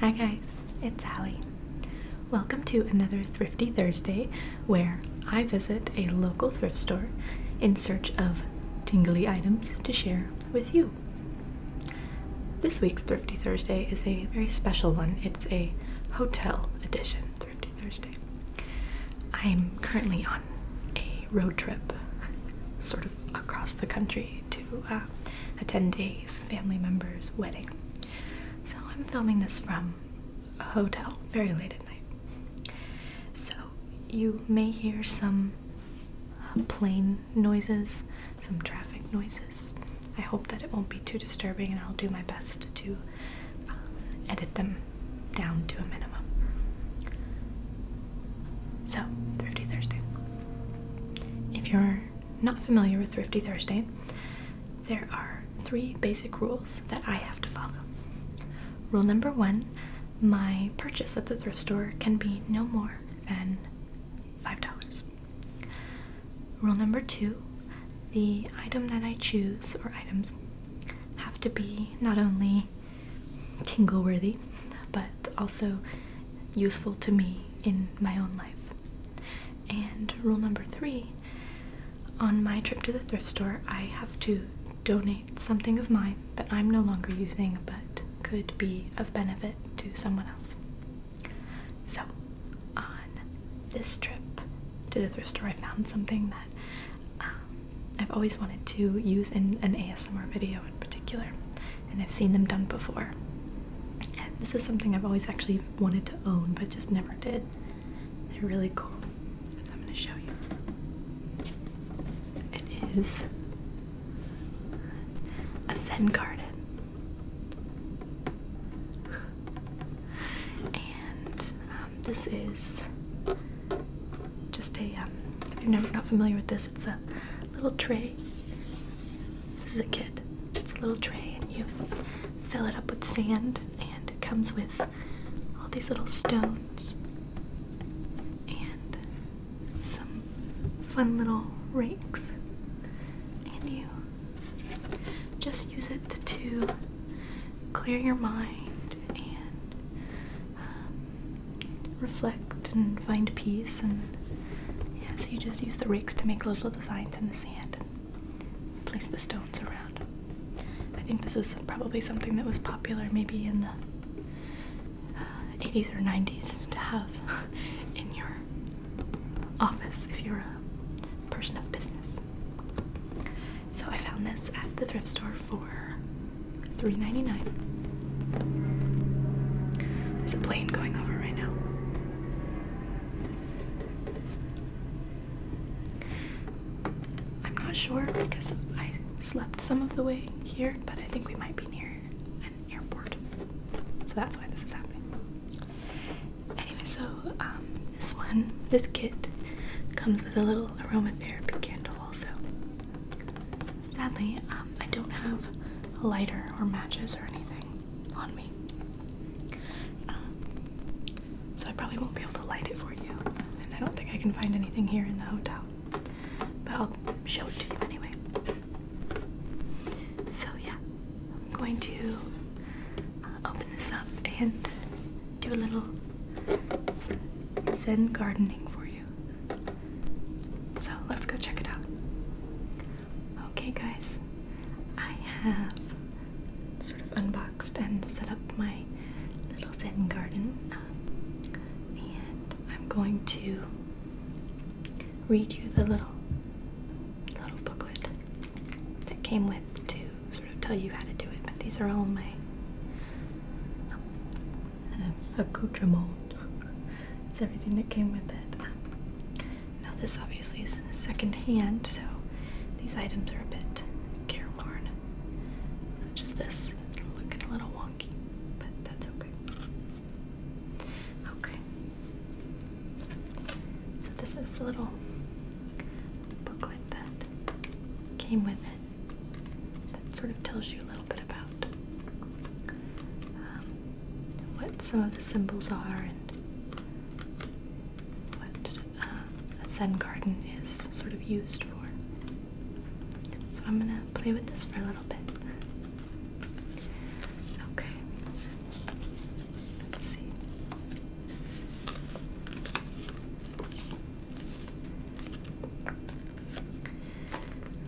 Hi guys, it's Hallie. Welcome to another Thrifty Thursday where I visit a local thrift store in search of tingly items to share with you. This week's Thrifty Thursday is a very special one. It's a hotel edition. Thrifty Thursday. I'm currently on a road trip, sort of across the country, to uh, attend a family member's wedding. So I'm filming this from a hotel, very late at night. So you may hear some uh, plane noises, some traffic noises. I hope that it won't be too disturbing, and I'll do my best to uh, edit them down to a minimum. So, Thrifty Thursday. If you're not familiar with Thrifty Thursday, there are three basic rules that I have to follow. Rule number one my purchase at the thrift store can be no more than $5. Rule number two the item that I choose or items have to be not only tingle worthy but also useful to me in my own life. And rule number three on my trip to the thrift store, I have to donate something of mine that I'm no longer using but could be of benefit to someone else. So, on this trip to the thrift store, I found something that um, I've always wanted to use in an ASMR video in particular, and I've seen them done before. this is something I've always actually wanted to own, but just never did. They're really cool. So I'm going to show you. It is a Zen garden and um, this is just a um, if you're never not familiar with this it's a little tray this is a kit it's a little tray and you fill it up with sand and it comes with all these little stones and some fun little rakes and you just use it to clear your mind and um, reflect and find peace. And yeah, so you just use the rakes to make little designs in the sand and place the stones around. I think this is probably something that was popular maybe in the 80s uh, or 90s to have in your office if you're a person of business. So I found this at the thrift store for $3.99. There's a plane going over right now. I'm not sure because I slept some of the way here, but I think we might be near an airport. So that's why this is happening. Anyway, so um, this one, this kit, comes with a little aromatherapy candle also. Sadly, um, I don't have a lighter or matches or anything on me. Um, so I probably won't be able to light it for you. And I don't think I can find anything here in the hotel. But I'll show it to you anyway. So yeah, I'm going to uh, open this up and do a little Zen gardening for you. So let's go check it out. Okay, guys, I have sort of unboxed and set up my little Zen garden, um, and I'm going to read you the little little booklet that came with to sort of tell you how to do it. But these are all my uh, accoutrements. it's everything that came with it. Um, now this obviously is second hand, so these items are a bit careworn. Such as this, looking a little wonky, but that's okay. Okay. So this is the little booklet that came with it that sort of tells you a little bit about um, what some of the symbols are and what uh, a Zen garden is sort of used for. So I'm gonna play with this for a little bit. Okay,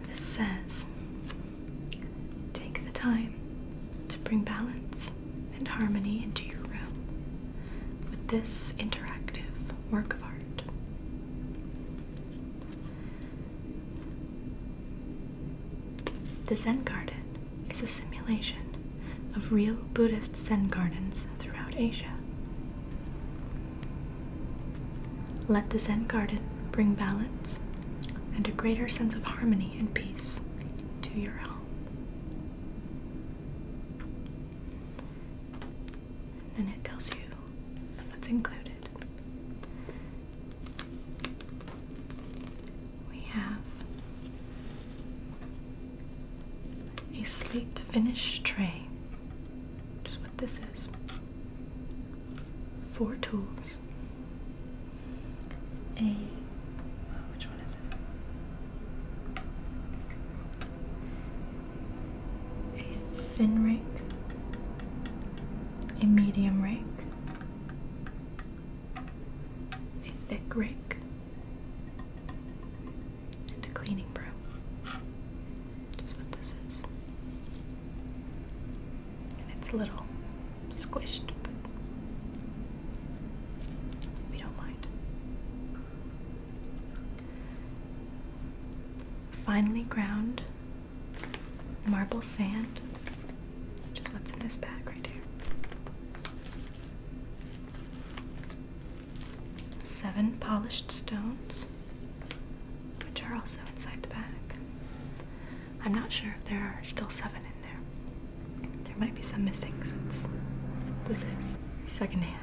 this says take the time to bring balance and harmony into your room with this interactive work of art. The Zen Garden is a simulation of real Buddhist Zen gardens throughout Asia. Let the Zen garden bring balance and a greater sense of harmony and peace to your home. Then it tells you what's included. We have a slate finish tray, just what this is. Four tools. A oh, which one is it? A thin rake, a medium rake, a thick rake, and a cleaning broom. That's what this is. And it's a little squished, but we don't mind. Finely ground marble sand which is what's in this bag right here. Seven polished stones, which are also inside the bag. I'm not sure if there are still seven in there. There might be some missing since this is secondhand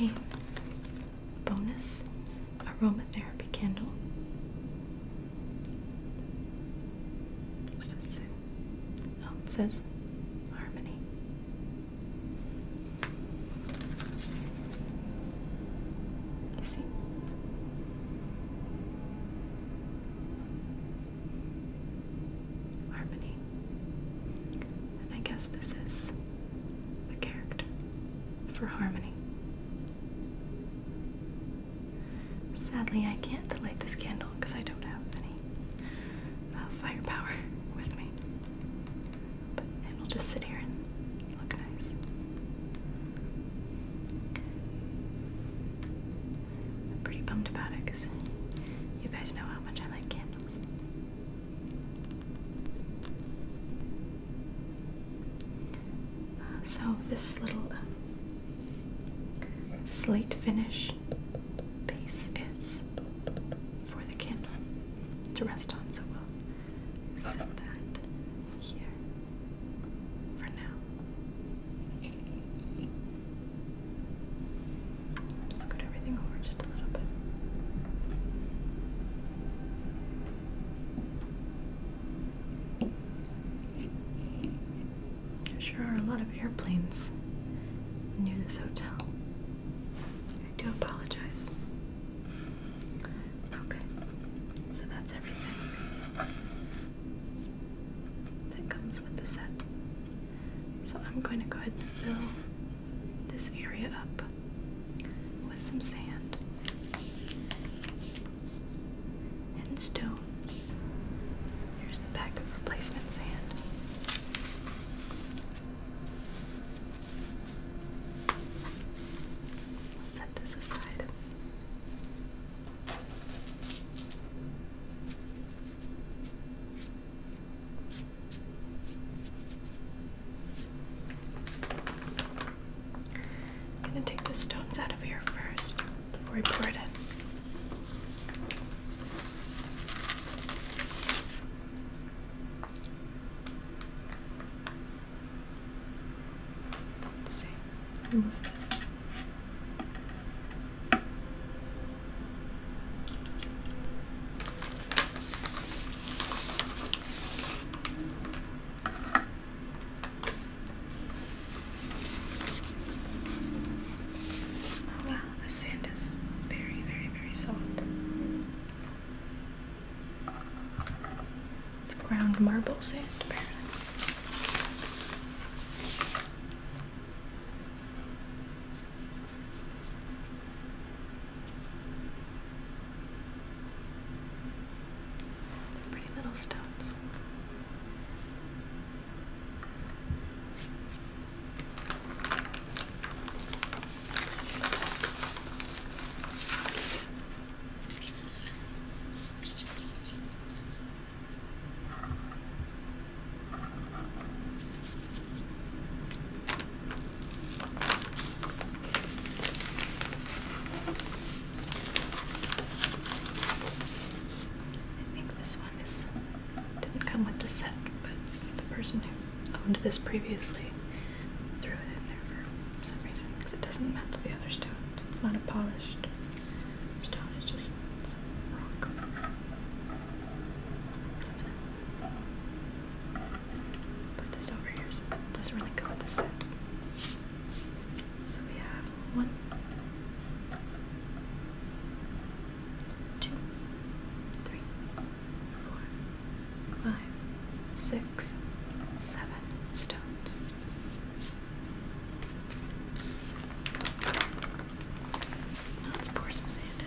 and a bonus aromatherapy candle. What does it Oh, it says harmony. You see? harmony. And I guess this is the character for harmony. Sadly, I can't light this candle because I don't have any uh, fire power with me. But it'll just sit here and look nice. I'm pretty bummed about it because you guys know how much I like candles so this little uh, slate finish base is for the candle to rest on, so we'll set that here for now. Scoot everything over just a little bit. There sure are a lot of airplanes near this hotel. I do apologize. Okay, so that's everything that comes with the set. So I'm going to go ahead and fill this area up with some sand and stone. Here's the pack of replacement sand. Set this aside. I'm going to take the stones out of here first before we pour it in. Let's see. Move this. Oh, wow, the sand is very, very, very soft. It's ground marble sand, apparently. They're pretty little stones. I think this one didn't come with the set, but the person who owned this previously threw it in there for some reason because it doesn't match the other stones. It's not a polished stone; it's just put this over here it doesn't really go with the set. So we have one, two, three, four, five, six, seven stones let's oh, pour some sand in.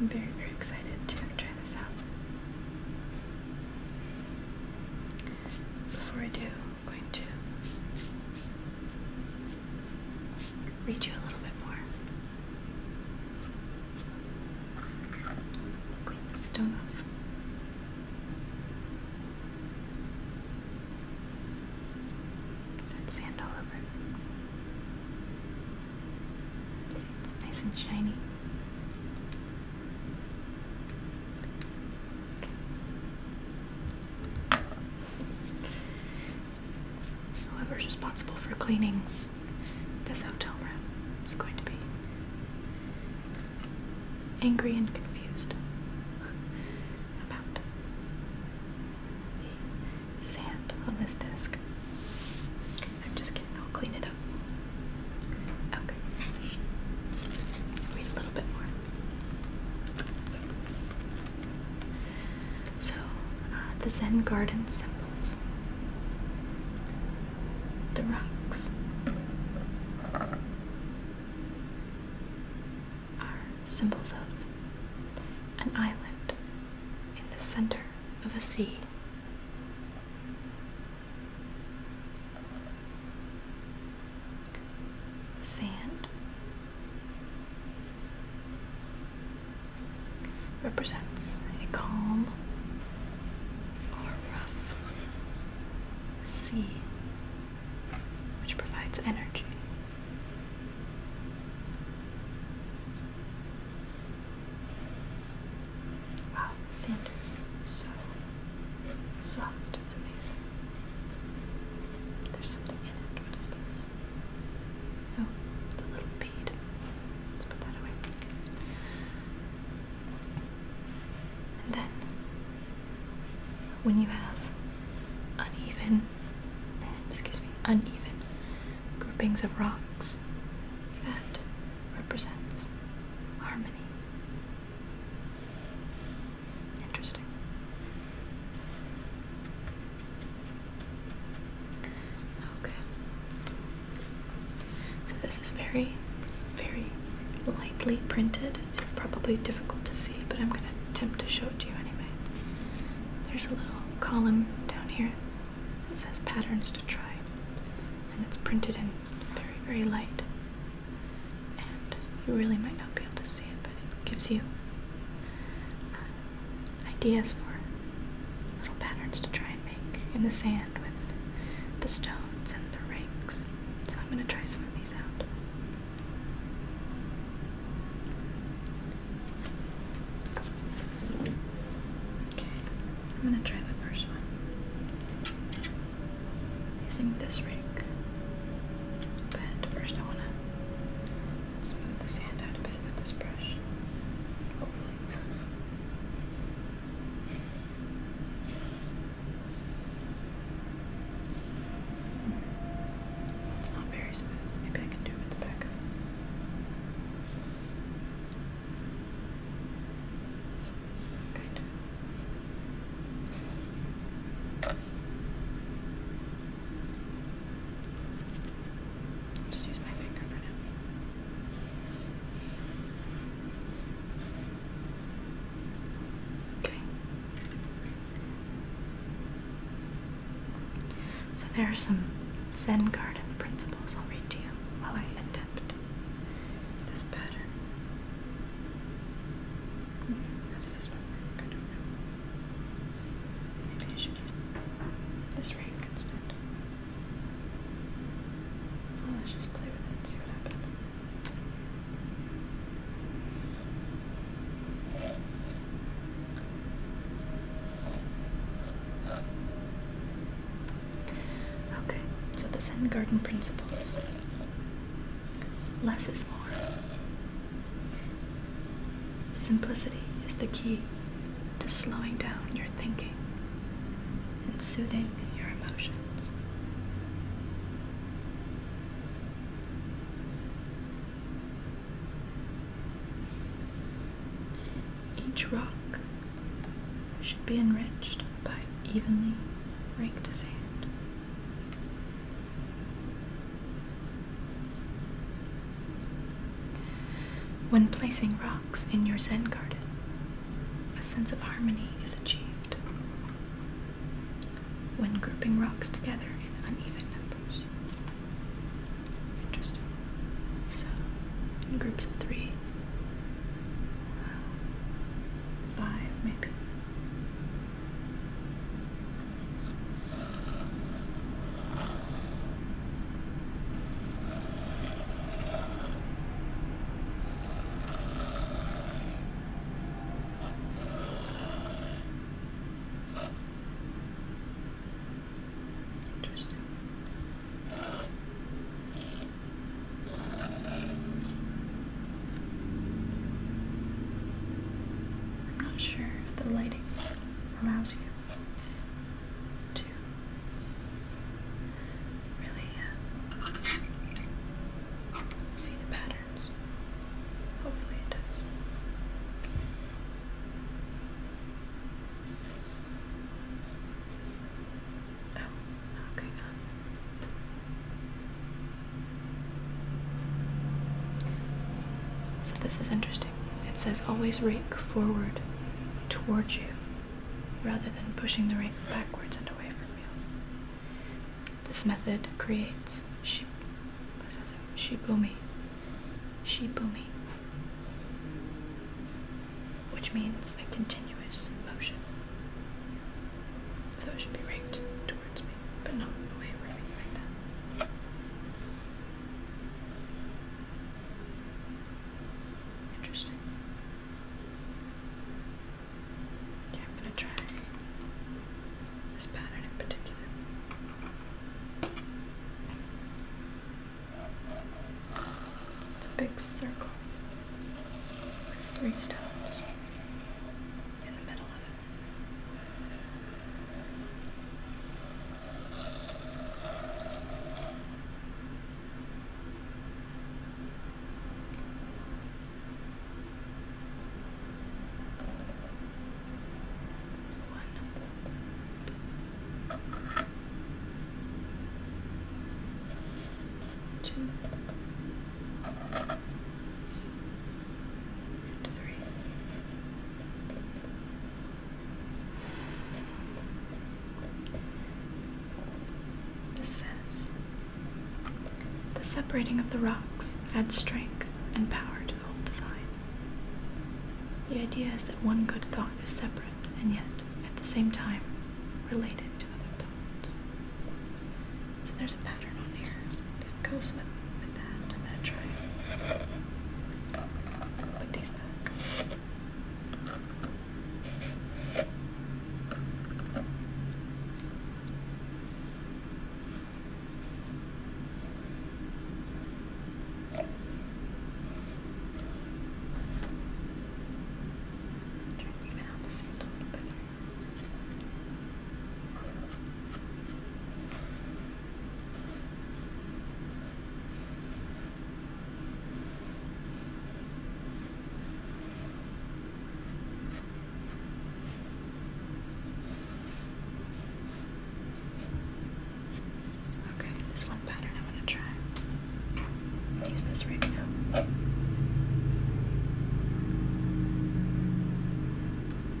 I'm very, very excited to try this out. Before I do, I'm going to read you a little bit more. stone Is that sand all over? it's nice and shiny. Okay. Whoever's responsible for cleaning this hotel room is going to be angry and confused about the sand on this desk. I'm just kidding, I'll clean it up. Okay. Read a little bit more. So, uh, the Zen garden symbols. The rocks are symbols of an island in the center of a sea. The sand represents a calm or rough sea which provides energy. Wow, the sand is so soft, it's amazing. There's something in it. What is this? Oh, it's a little bead. Let's put that away. And then, when you have uneven, excuse me, uneven groupings of rocks, six. That represents harmony. Interesting. Okay. So this is very, very lightly printed and probably difficult to see, but I'm going to attempt to show it to you anyway. There's a little column down here it says patterns to try, and it's printed in very, very light. And you really might not be able to see it, but it gives you uh, ideas for little patterns to try and make in the sand with the stones and the rakes. So I'm going to try some of these out. Okay, I'm gonna try the first one using this rake. But first, I wanna smooth the sand out a bit with this brush. Hopefully. It's not very smooth. Maybe I can do it with the back. Good. Just use my finger for now. Okay. So there are some Zen garden principles I'll read to you while I attempt this pattern. How does this one work? Maybe I should this rank instead. let's just play with it see what happens. Okay, so the Zen Garden Principles. Less is more. Simplicity is the key to slowing down your thinking and soothing your emotions. Each rock should be enriched by evenly raked sand. When placing rocks in your Zen garden, a sense of harmony is achieved. When grouping rocks together in uneven numbers, Interesting. So, in groups of three, five maybe. Interesting. I'm not sure if the lighting allows you to really uh, see the patterns. Hopefully, it does. Oh, uh. So this is interesting. It says always rake forward towards you rather than pushing the rake backwards and away from you. This method creates she shibomi shibumi, which means a continuous motion. So it should be right towards me, but not away from me like that. Interesting. Okay, I'm gonna try this pattern in particular. It's a big circle with three stones in the middle one, two, and three. This says the separating of the rocks adds strength and power to the whole design. The idea is that one good thought is separate and yet, at the same time, related to other thoughts. So there's a pattern on here that goes with, with that. I'm gonna try put these back. Trying to even out the sand a little bit. Okay, this one pattern I want to try. Use this right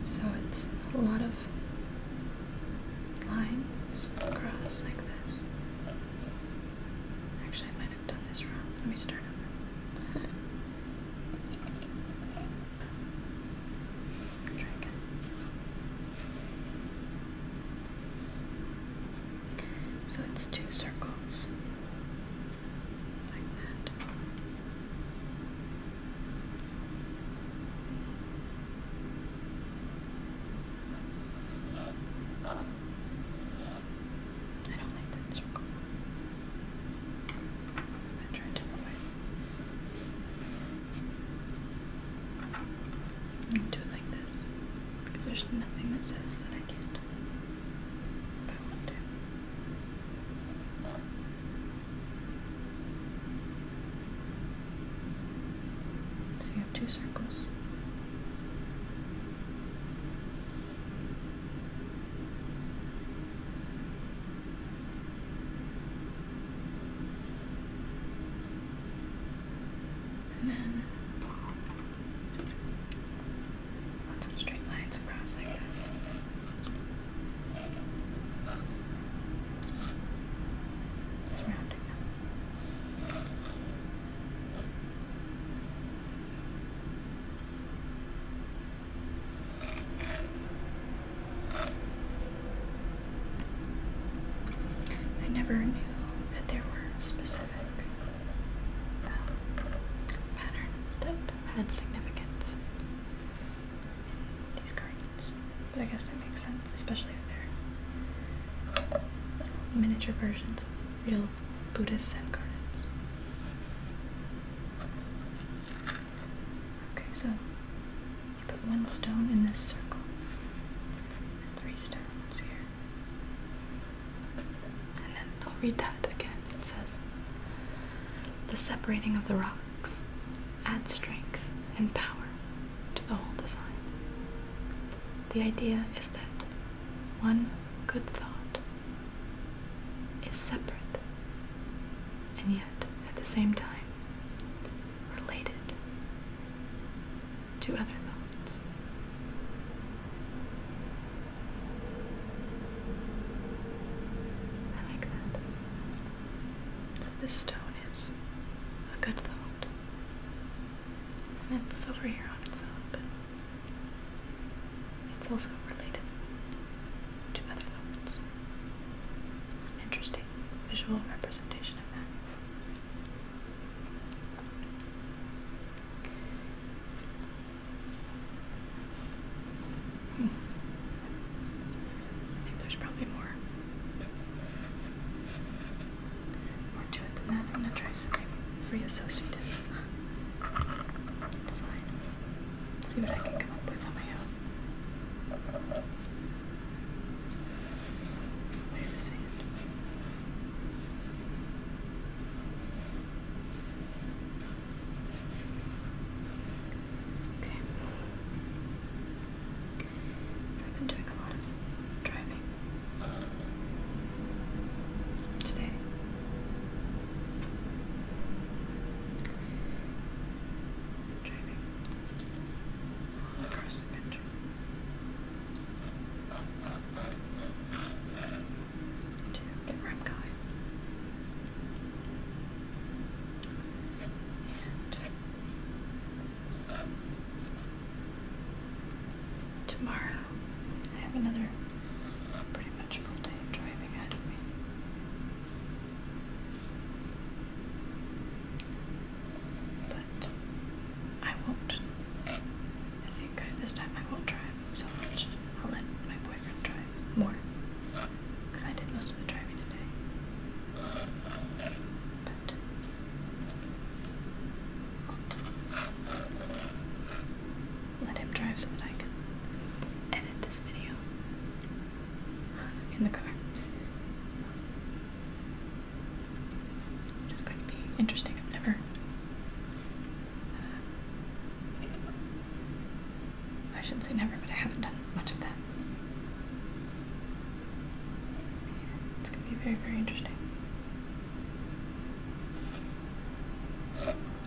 So it's a lot of lines across like this. Actually, I might have done this wrong. Let me start over. So it's two circles like that. I don't like that circle. I'm going to try do it like this because there's nothing that says that I can't if I want to. So you have two circles. And then lots of straight lines across like this. Surrounding them. I never knew that there were specific um, patterns that had significance in these gardens, but I guess that makes sense, especially if they're um, miniature versions of real Buddhist Zen gardens. Okay, so you put one stone in this circle. three stones here. And then I'll read that again. It says The separating of the rocks adds strength and power to the whole design. The idea is that one good thought is separate and yet at the same time related to other thoughts. I like that. So this stone is a good thought. And it's over here on its own, but it's also related to other thoughts. It's an interesting visual representation of that. Hmm. I think there's probably more. More to it than that. I'm gonna try something free associative design. See what I can come up with on my own. Clear Okay. So I've been doing a lot of driving today. Driving across the country. To get where tomorrow I have another pretty much full day driving ahead of me. But I won't. I think I, this time I won't drive so much. I'll let my boyfriend drive more. Because I did most of the driving today. But I'll let him drive so that I can edit this video in the car. Which going to be interesting. I've never. Uh, I shouldn't say never, but I haven't done much of that. It's going to be very, very interesting.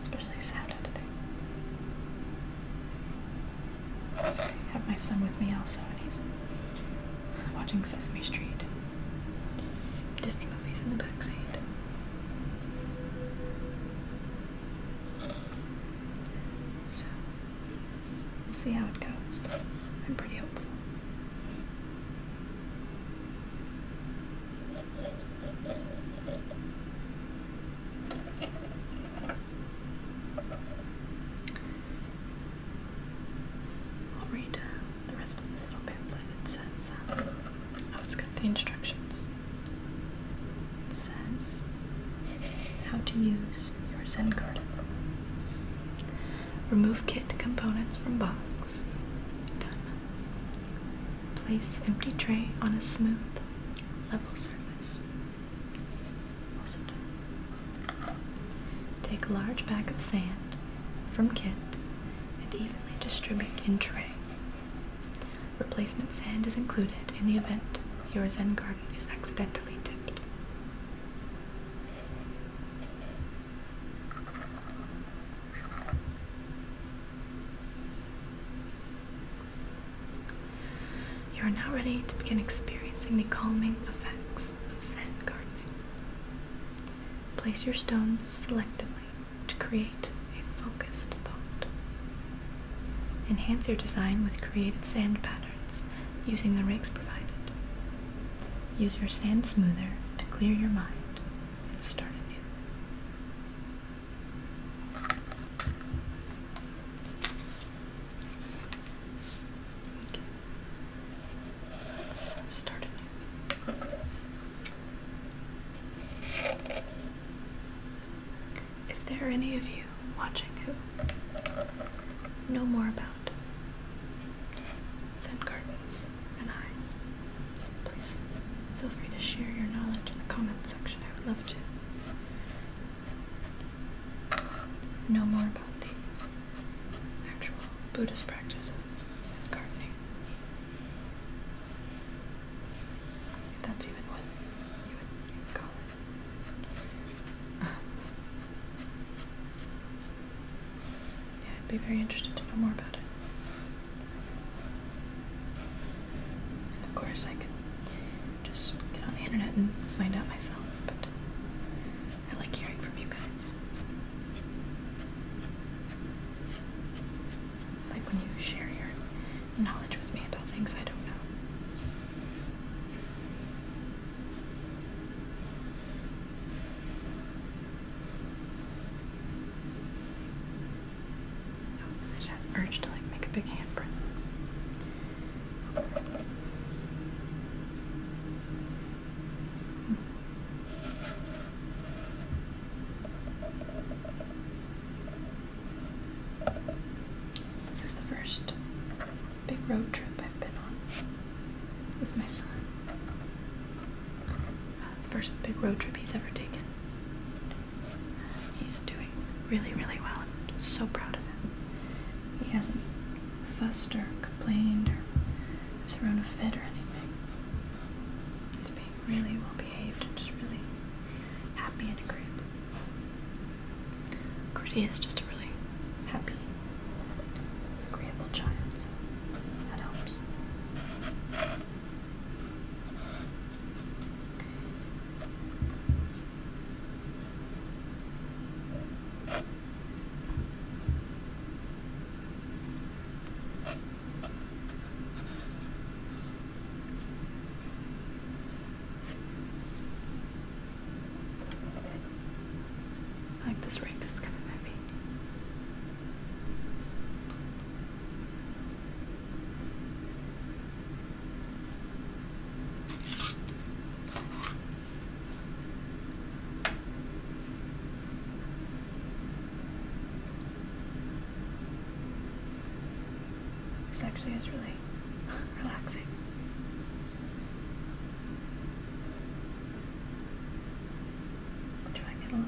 Especially Saturday I have my son with me also, and he's watching Sesame Street, Disney movies in the backseat. So, we'll see how it goes, but I'm pretty hopeful. I'll read uh, the rest of this little pamphlet. It says, um, oh, it's got the instructions. It says, how to use your Zen garden. Remove kit components from box. Done. Place empty tray on a smooth, level surface. Take a large bag of sand from kit and evenly distribute in tray. Replacement sand is included in the event your Zen garden is accidentally tipped. You are now ready to begin experiencing the calming effects of sand gardening. Place your stones selectively to create a focused thought. Enhance your design with creative sand patterns using the rakes provided. Use your sand smoother to clear your mind and start anew. Let's start If there are any of you watching who know more about Zen Gardens and I, please feel free to share your knowledge in the comments section. I would love to know more about the actual Buddhist practice of Zen gardening. If that's even what you would, call it. yeah, I'd be very interested to know more about it. of course, I can just get on the internet and find out myself, but I like hearing from you guys. like when you share your knowledge with me about things I don't know. I just had an urge to like make a big handprint. Hmm. This is the first big road trip I've been on with my son. Uh, it's the first big road trip he's ever taken. He's doing really, really well. I'm so proud of him. He hasn't fussed or complained or thrown a fit or anything. He's being really well behaved and just really happy and agreeable. Of course, he is just a really happy, agreeable child, so that helps. I like this ring because it's kind of heavy. This actually is really relaxing. try and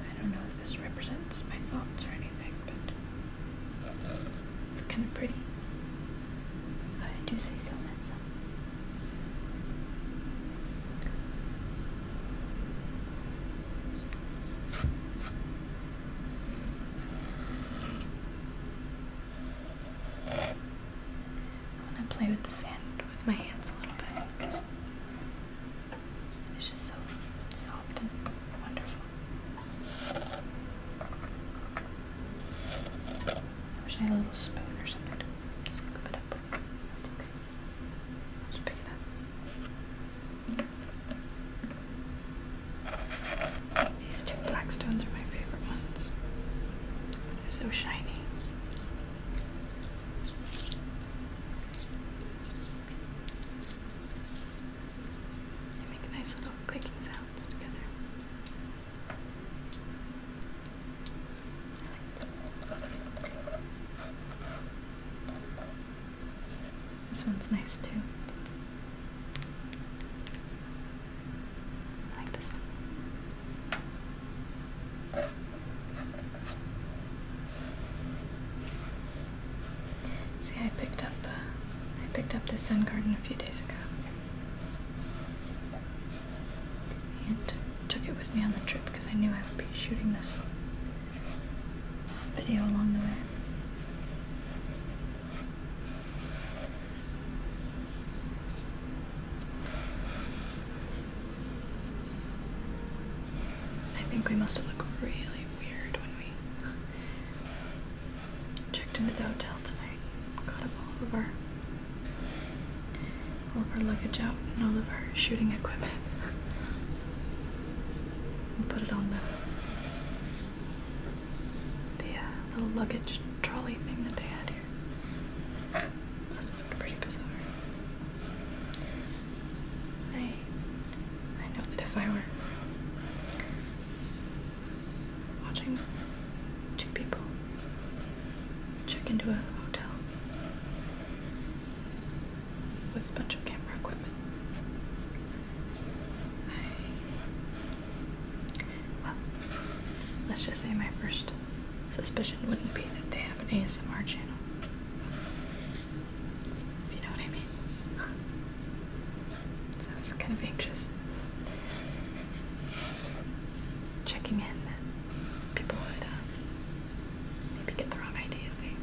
I don't know if this represents my thoughts or anything, but it's kind of pretty. I do say so myself. I want to play with the sand with my hands a little bit it's just so soft and wonderful. I wish I had a little spoon or something scoop it up. It's okay. Just pick it up. These two black stones are my favorite ones. They're so shiny. They make nice little clicking sounds together. This one's nice too. I like this one. See, I picked up uh, I picked up this sun garden a few days ago and took it with me on the trip because I knew I would be shooting this video along the way. I think we must have looked really weird when we checked into the hotel tonight. Got all of our, all of our luggage out and all of our shooting equipment. and put it on the, the uh, little luggage trolley thing that they had here. Must looked pretty bizarre. I I know that if I were watching two people check into a hotel with a bunch of camera equipment. I well, let's just say my first suspicion wouldn't be that they have an ASMR channel. If you know what I mean. So I was kind of anxious. Checking in that people would uh, maybe get the wrong idea if they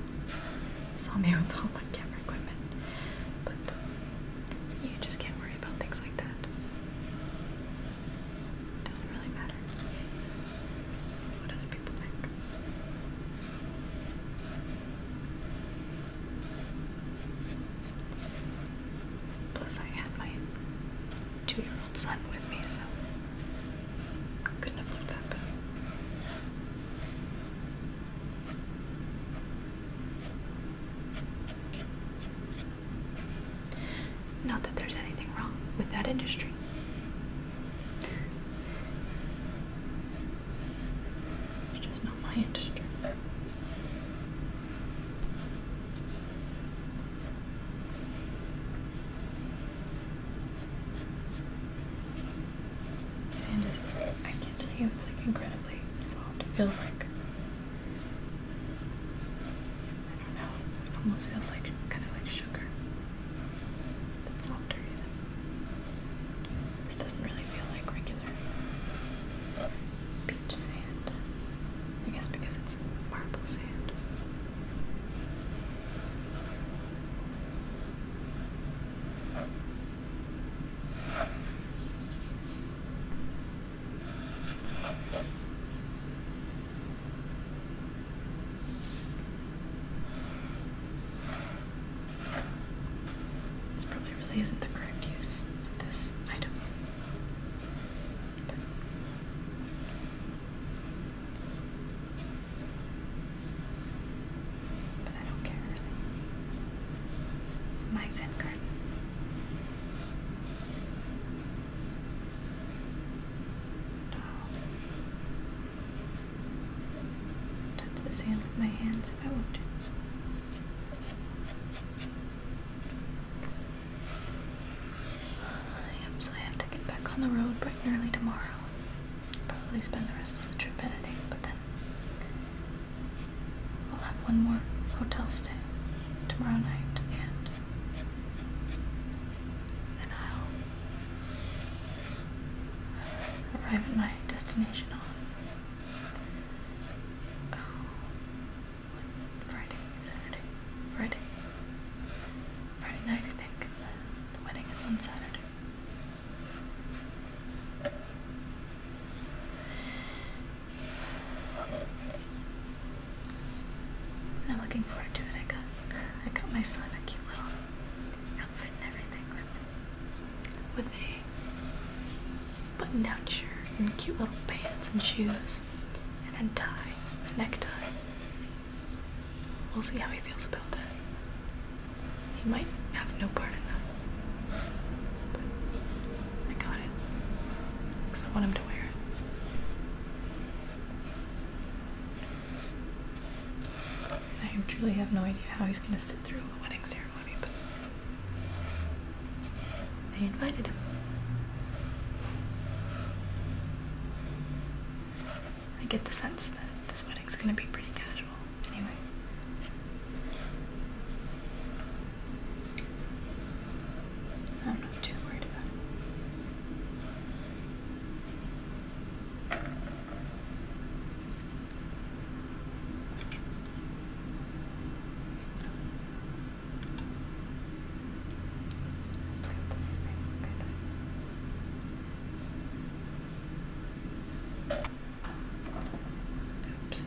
saw me with all my camera equipment. But you just can't worry about things like that. It doesn't really matter Plus, I had my two year old son with me, so couldn't have looked that bad. Not that there's anything wrong with that industry. It's just not my industry. Sand I can not tell you, it's like incredibly soft. It feels like, I don't know, it almost feels like kind of like sugar. It's softer, yeah. This doesn't really feel like regular beach sand. I guess because it's marble sand. This probably really isn't the correct use of this item. But I don't care It's my Zen card. No touch the sand with my hands if I want to. Yep, so have to get back on the road bright and early tomorrow. Probably spend the rest of the trip editing, but then I'll have one more hotel stay tomorrow night and then I'll arrive at my destination on oh, Friday, Saturday, Friday, Friday night I think. The wedding is on Saturday. I'm looking forward to it. I got I got my son a cute little outfit and everything with a button-down shirt and cute little pants and shoes and a tie, a necktie. We'll see how he feels about that. He might have no part in that. But I got it. Because I want him to wear it. I truly have no idea how he's going to sit through a wedding ceremony, but they invited him. I get the sense that this wedding's going to be pretty casual anyway. I'm not too worried about Take this thing, okay. Oops.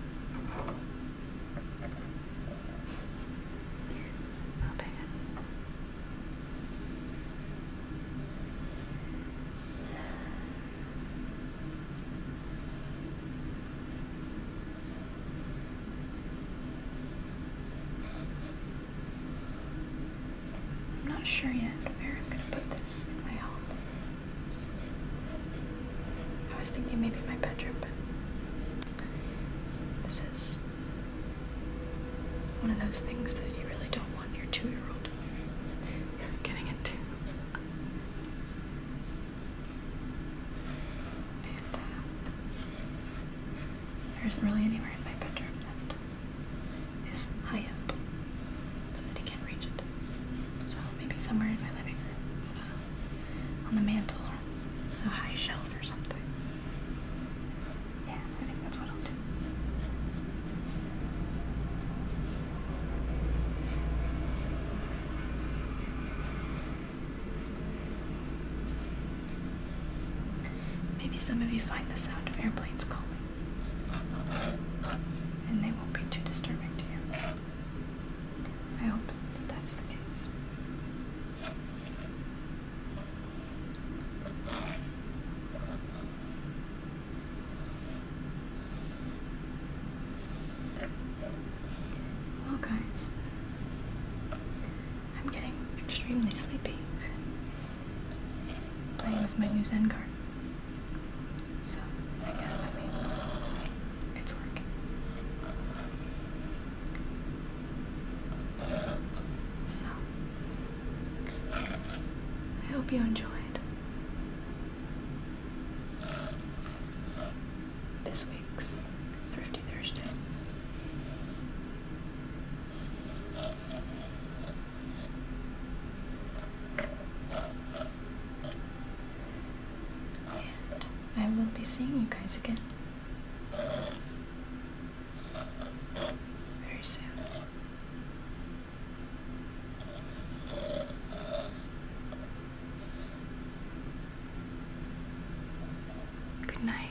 Not bad. I'm not sure yet where I'm gonna put this in my home. I was thinking maybe my bedroom, but this is one of those things that you really don't want your two year old getting into. And uh, there isn't really anywhere in my bedroom that is high up so that he can't reach it. So maybe somewhere in my living room, on, the mantle, or a high shelf or something. Maybe some of you find the sound of airplanes calming, and they won't be too disturbing to you. I hope that that is the case. Well, guys, I'm getting extremely sleepy playing with my new Zen card. So, I guess that means it's working. So, I hope you enjoyed this week's Thrifty Thursday. And I will be seeing you guys again very soon. Good night.